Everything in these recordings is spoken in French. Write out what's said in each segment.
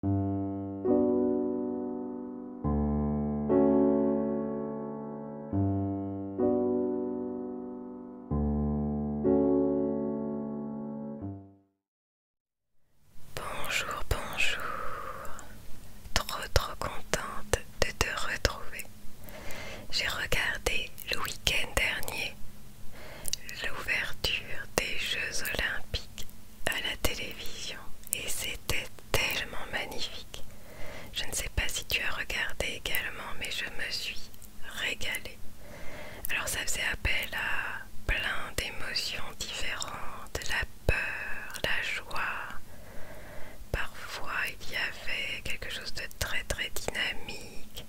Bonjour, bonjour. Trop, trop contente de te retrouver. J'ai regardé le week-end dernier l'ouverture des Jeux olympiques à la télévision et c'était tellement magnifique. Je ne sais pas si tu as regardé également, mais je me suis régalée. Alors ça faisait appel à plein d'émotions différentes, la peur, la joie. Parfois il y avait quelque chose de très très dynamique.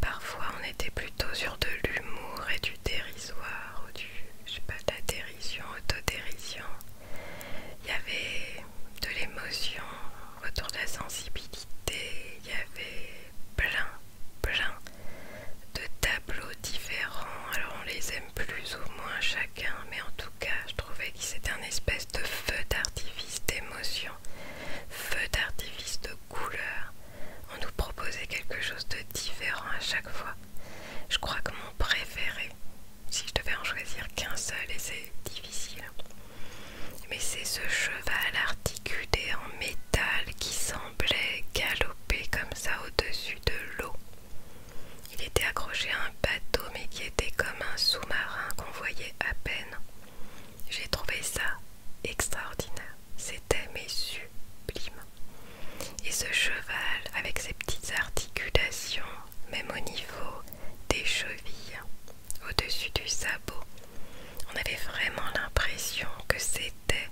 Parfois on était plutôt sur de l'humour et du dérisoire ou du, je sais pas, de la dérision, autodérision. Il y avait de l'émotion, autour de la sensibilité, il y avait plein, plein de tableaux différents. Alors on les aime plus ou moins chacun, mais en tout cas je trouvais que c'était un espèce de feu d'artifice d'émotion, feu d'artifice de couleur. On nous proposait quelque chose de différent à chaque fois. Je crois que mon préféré, si je devais en choisir qu'un seul, et c'est difficile, mais c'est ce cheval articulé en métal qui semblait galoper comme ça au-dessus de l'eau. Il était accroché à un bateau, mais qui était comme un sous-marin qu'on voyait à peine. J'ai trouvé ça extraordinaire. C'était mais sublime. Et ce cheval, avec ses petites articulations, même au niveau des chevilles, au-dessus du sabot, on avait vraiment l'impression que c'était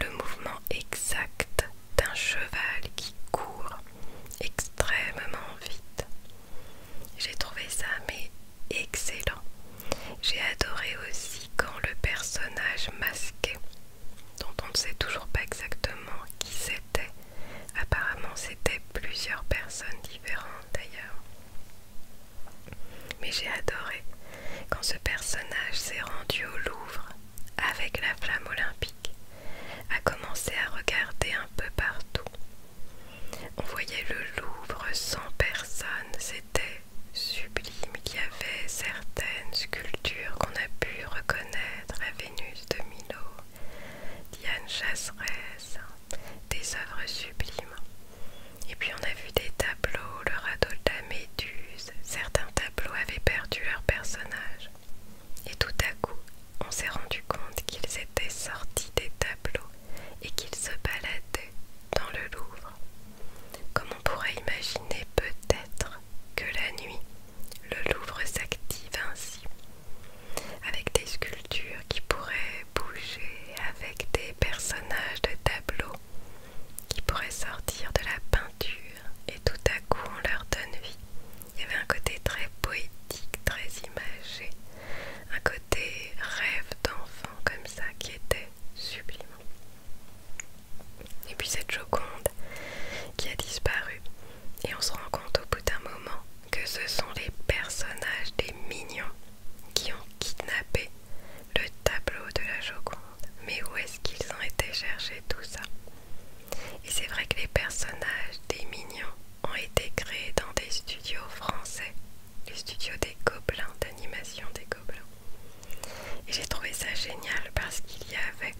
le mouvement exact d'un cheval qui court extrêmement vite. J'ai trouvé ça mais excellent. J'ai adoré aussi quand le personnage masqué dont on ne sait toujours pas exactement qui c'était. Apparemment, c'était plusieurs personnes différentes d'ailleurs. Mais j'ai adoré quand ce personnage s'est rendu au Louvre avec la flamme olympique, a commencé à regarder un peu partout. On voyait le Louvre sans personne, c'était sublime, avait certaines sculptures qu'on a pu reconnaître à Vénus de Milo, Diane Chasseresse, des œuvres sublimes. Et puis on a vu des tableaux, le radeau de la Méduse, certains tableaux avaient perdu leur personnages. Et tout à coup, on s'est rendu compte qu'ils étaient sortis des tableaux et qu'ils se baladaient dans le Louvre. Comme on pourrait imaginer peut-être que la nuit, le Louvre s'active ainsi, avec des sculptures qui pourraient bouger, avec des personnages de tableaux qui pourraient sortir de la peinture et tout à coup on leur donne vie. Il y avait un côté très poétique, très imagé, un côté rêve d'enfant comme ça qui était sublime. Et puis cette Joconde qui a disparu. Et on se rend compte au bout d'un moment que ce sont les personnages des mignons qui ont kidnappé le tableau de la Joconde. Mais où est-ce qu'ils ont été chercher tout ça Et c'est vrai que les personnages des mignons ont été créés dans des studios français, les studios des Gobelins, d'animation des Gobelins. Et j'ai trouvé ça génial parce qu'il y avait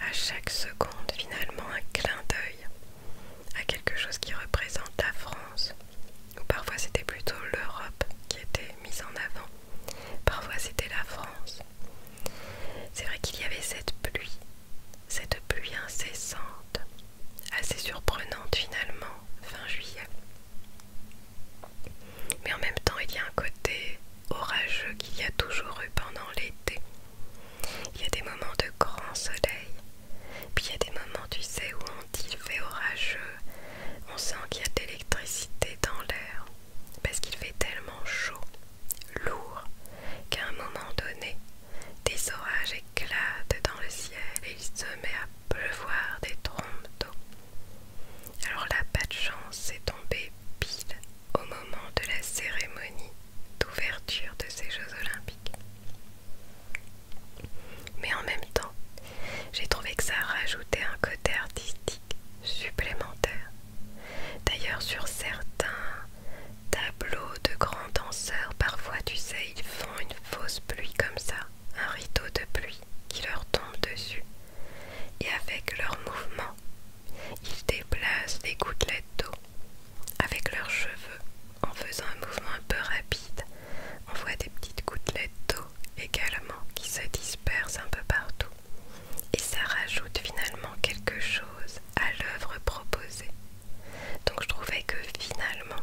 à chaque seconde finalement un clin d'œil à quelque chose qui représente la France. Ou parfois c'était plutôt l'Europe qui était mise en avant. Parfois c'était la France. C'est vrai qu'il y avait cette pluie, cette pluie incessante, assez surprenante finalement, fin juillet. Mais en même temps, il y a un côté orageux qu'il y a toujours eu pendant l'été. Il y a des moments de grand soleil, puis il y a des moments, tu sais, où on dit il fait orageux, on sent qu'il y a de l'électricité dans l'air, parce qu'il fait tellement chaud, lourd, qu'à un moment donné, des orages éclatent dans le ciel et il se met à pleuvoir des trompes d'eau. Alors la pas de chance, c'est tombée pile au moment de la cérémonie d'ouverture de ces Jeux olympiques. Mais en même temps, j'ai trouvé que ça rajoutait un côté artistique supplémentaire. D'ailleurs, sur certains tableaux de grands danseurs, parfois, tu sais, ils font une fausse pluie comme ça, un rideau de pluie qui leur tombe dessus. Et avec leurs mouvements, ils déplacent des gouttelettes d'eau avec leurs cheveux. En faisant un mouvement un peu rapide, on voit des petites gouttelettes d'eau également qui se dispersent un peu partout. Et ça rajoute finalement quelque chose à l'œuvre proposée. Donc je trouvais que finalement,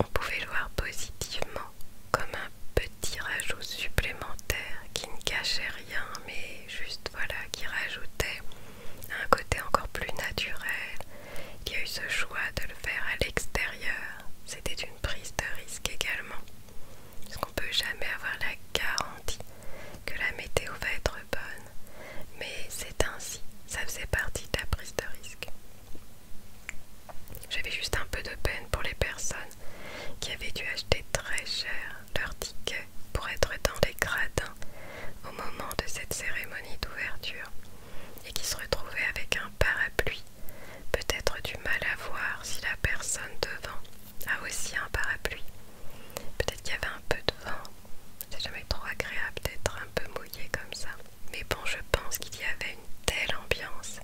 on pouvait le voir positivement comme un petit petit rajout supplémentaire qui ne cachait rien mais juste voilà qui rajoutait un côté encore plus naturel. qui y a eu ce choix de le faire à l'extérieur. C'était une prise de risque également. Parce qu'on peut jamais avoir la garantie que la météo va être bonne. Mais c'est ainsi. Ça faisait partie de la prise de risque. J'avais juste un peu de peine pour les personnes qui avaient dû acheter très cher leur ticket pour être dans les gradins au moment de cette cérémonie d'ouverture et qui se retrouvaient avec un parapluie, peut-être du mal à voir si la personne devant a aussi un parapluie. Peut-être qu'il y avait un peu de vent, c'est jamais trop agréable d'être un peu mouillé comme ça. Mais bon, je pense qu'il y avait une telle ambiance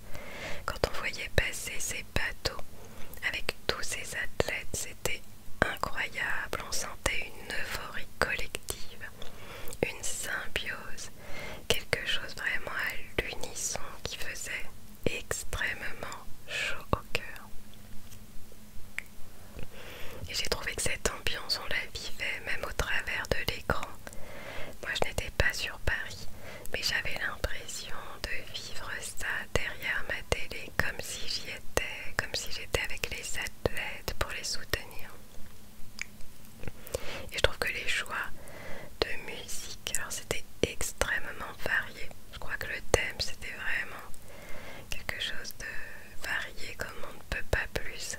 quand on voyait passer ces bateau avec tous ces athlètes. C'était incroyable. On sentait une euphorie collective, une symbiose, quelque chose vraiment à l'unisson qui faisait extrêmement chaud au cœur. Et j'ai trouvé que cette ambiance, on la vivait même au travers de l'écran. Moi, je n'étais pas sur Paris, mais j'avais l'impression de vivre ça derrière ma télé comme si j'y étais, comme si j'étais avec les athlètes pour les soutenir. Et je trouve que les choix de musique, alors c'était extrêmement varié. Je crois que le thème c'était vraiment quelque chose de varié comme on ne peut pas plus.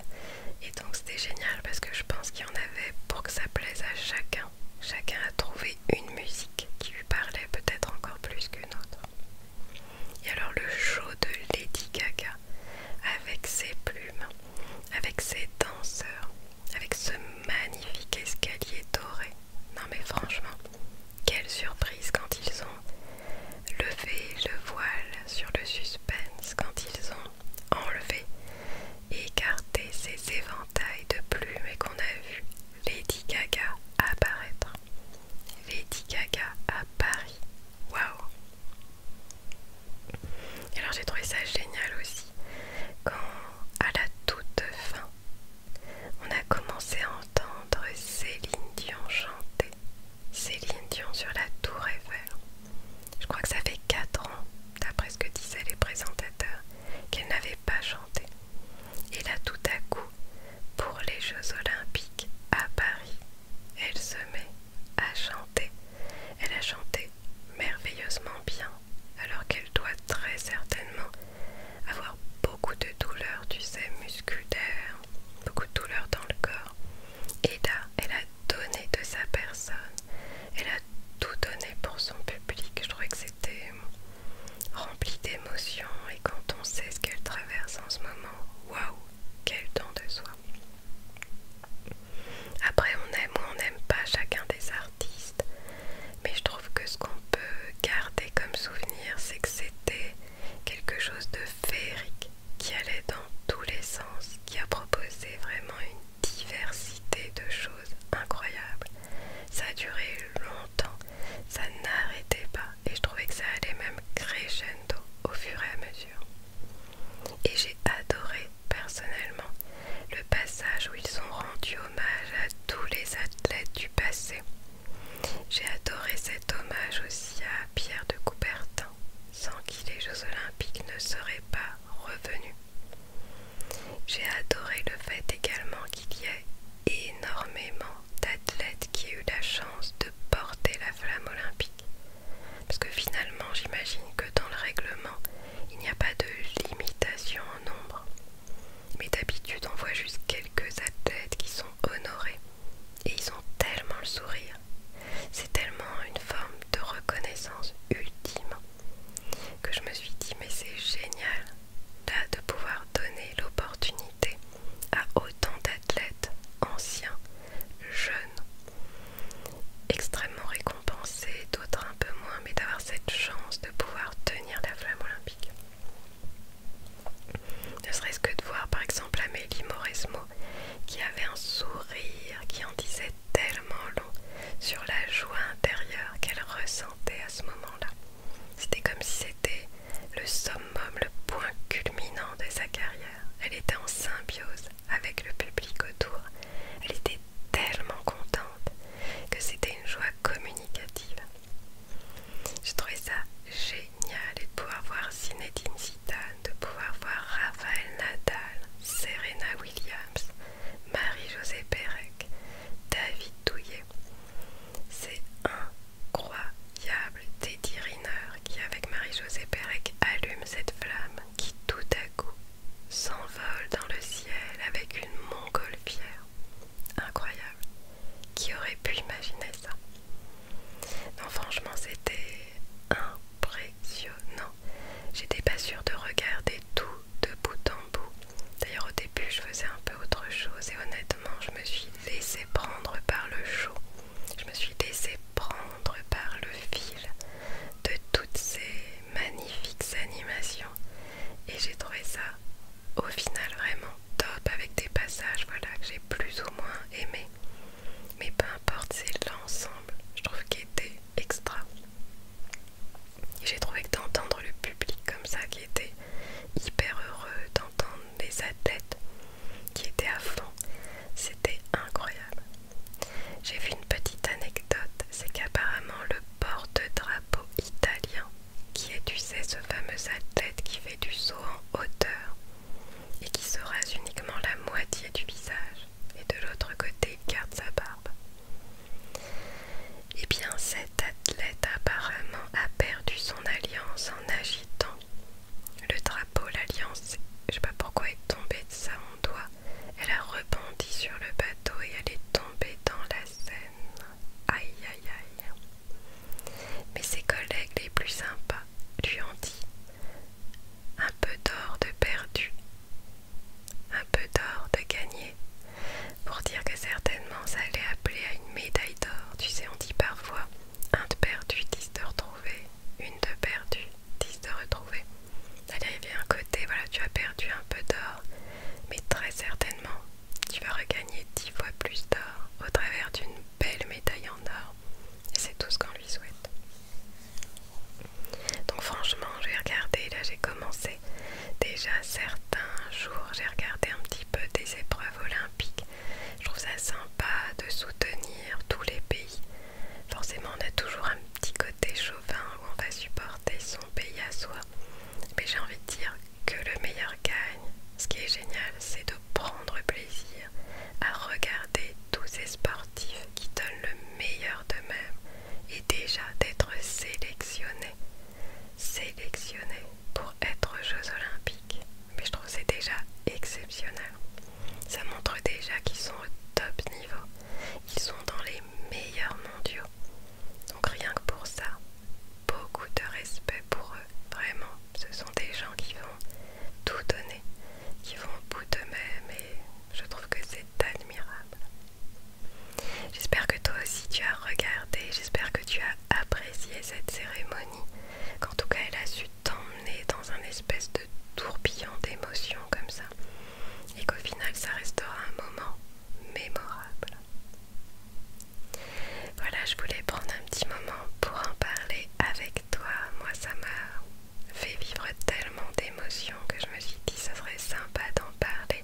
Et donc c'était génial parce que je pense qu'il y en avait pour que ça plaise à chacun. Chacun a trouvé une musique qui lui parlait peut-être encore plus qu'une autre. Et alors le show de Lady Gaga, avec ses plumes, avec ses danseurs, avec ce magnifique escalier doré. Non mais franchement, quelle surprise quand ils ont levé le voile sur le suspense, quand ils ont enlevé et écarté ces éventails de plumes et qu'on a vu Lady Gaga apparaître. Lady Gaga à Paris. Waouh Alors j'ai trouvé ça génial aussi. Quand à la toute fin, on a commencé à entendre Céline Dion chanter. Céline Dion sur la tour Eiffel. Je crois que ça fait 4 ans, d'après ce que disaient les présentateurs, qu'elle n'avait pas chanté. Et là tout à coup, pour les Jeux Olympiques à Paris, elle se met à chanter. Elle a chanté merveilleusement bien, alors qu'elle doit très certainement avoir beaucoup de douleurs, tu sais, musculaires, beaucoup de douleurs dans le corps. Et là, elle a donné de sa personne, elle a tout donné pour son public. Je trouvais que c'était remplie d'émotions et quand on sait ce qu'elle traverse en ce moment, waouh, quel temps de soi. Après on aime ou on n'aime pas chacun des artistes, mais je trouve que ce qu'on peut garder comme souvenir, c'est que c'était quelque chose de féerique qui allait dans tous les sens, qui a proposé vraiment une diversité de choses incroyables. Ça a duré longtemps ça n'arrêtait pas et je trouvais que ça allait même crescendo au fur et à mesure. Et j'ai adoré personnellement le passage où ils ont rendu hommage à tous les athlètes du passé. J'ai adoré cet hommage aussi à Pierre de Coubertin, sans qui les Jeux Olympiques ne seraient pas revenus. J'ai adoré le fait également qu'il y ait énormément d'athlètes qui aient eu la chance de porter la flamme olympique. Parce que finalement, j'imagine que dans le règlement, il n'y a pas de limitation en nombre. Mais d'habitude, on voit juste quelques athlètes qui sont honorés. Et ils ont tellement le sourire. C'est tellement une forme de reconnaissance ultime que je me suis dit, mais c'est génial de pouvoir donner l'opportunité à autant d'athlètes anciens, jeunes, extrêmement récompensés, d'autres un peu moins, mais d'avoir cette chance de pouvoir tenir la flamme olympique. Ne serait-ce que de voir par exemple Amélie Mauresmo qui avait un sourire qui en disait tellement long sur la joie intérieure qu'elle ressentait à ce moment-là. C'était comme si c'était le summum, le point culminant de sa carrière. Elle était en symbiose avec le public autour. Elle était tellement contente que c'était une joie communicative. Je trouvais ça génial de pouvoir voir Zinedine Zidane, de pouvoir voir Raphaël Nadal, Serena Williams, Marie-Josée Pérec, David Douillet. C'est un incroyable Teddy Riner qui, avec marie josé Pérec, allume cette flamme qui tout à coup s'envole dans le ciel avec une Mongolfière. Incroyable. Qui aurait pu imaginer ça Non, franchement, c'était impressionnant. J'étais pas sûre de regarder tout de bout en bout. D'ailleurs, au début, je faisais un autre chose et honnêtement je me suis laissé prendre par le show, je me suis laissée prendre par le fil de toutes ces magnifiques animations et j'ai trouvé ça au final vraiment top avec des passages voilà que j'ai plus ou moins aimé mais peu importe c'est l'ensemble je trouve qu'il était extra j'ai trouvé que d'entendre le public comme ça qui était hyper heureux d'entendre des athlètes qui étaient à fond. C'était incroyable. J'ai vu une petite anecdote, c'est qu'apparemment le porte-drapeau italien, qui est, tu sais, ce fameux athlète qui fait du saut en hauteur et qui se rase uniquement la moitié du visage et de l'autre côté garde sa barbe. Et eh bien, c'est athlète apparemment a perdu son alliance en agitant le drapeau. L'alliance, je sais pas pourquoi, est tombée de sa doigt. Elle a rebondi sur le bateau et elle est tombée dans la Seine. Aïe aïe aïe. Mais ses collègues les plus sympas lui ont dit un peu d'or de perdu, un peu d'or de gagné, pour dire que certainement on ça allait appeler à une médaille d'or. Tu sais, on dit parfois un de perdu, dix de retrouvé, une de perdu, dix de retrouvé. Allez, il y a un côté, voilà, tu as perdu un peu d'or, mais très certainement tu vas regagner dix fois plus d'or au travers d'une belle médaille en or. Et c'est tout ce qu'on lui souhaite. Donc franchement, j'ai regardé, là j'ai commencé déjà certains jours, j'ai regardé un petit peu des épreuves olympiques je trouve ça sympa de soutenir tous les pays. Forcément, on a toujours un petit côté chauvin où on va supporter son pays à soi. Mais j'ai envie de dire que le meilleur gagne. Ce qui est génial, c'est de prendre plaisir à regarder tous ces sportifs qui donnent le meilleur d'eux-mêmes et déjà d'être sélectionnés. Sélectionnés pour être Jeux Olympiques mais je trouve c'est déjà exceptionnel. Ça montre déjà qu'ils sont au top niveau, ils sont dans les meilleurs mondiaux. Donc rien que pour ça, beaucoup de respect pour eux, vraiment. Ce sont des gens qui vont tout donner, qui vont au bout d'eux-mêmes et je trouve que c'est admirable. J'espère que toi aussi tu as regardé, j'espère que tu as apprécier cette cérémonie, qu'en tout cas elle a su t'emmener dans un espèce de tourbillon d'émotions comme ça, et qu'au final ça restera un moment mémorable. Voilà, je voulais prendre un petit moment pour en parler avec toi. Moi, ça m'a fait vivre tellement d'émotions que je me suis dit ça serait sympa d'en parler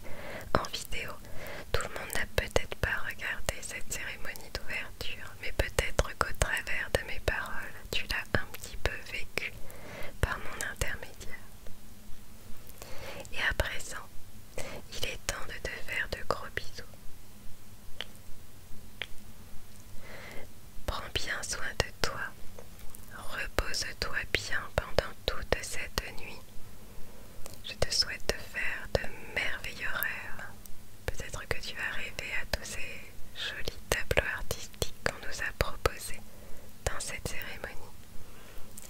en vidéo. Tout le monde n'a peut-être pas regardé cette cérémonie d'ouverture mais peut-être qu'au travers de mes paroles, tu l'as un petit peu vécu par mon intermédiaire. Et à présent, il est temps de te faire de gros bisous. Prends bien soin de toi, repose-toi bien pendant toute cette nuit. Je te souhaite de faire de merveilleux rêves. Peut-être que tu vas rêver à tous ces jolis tableaux artistiques qu'on nous a proposés dans cette cérémonie.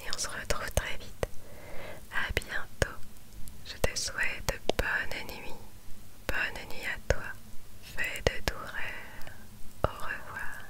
Et on se retrouve très vite. À bientôt. Je te souhaite bonne nuit. Bonne nuit à toi. Fais de doux rêves. Au revoir.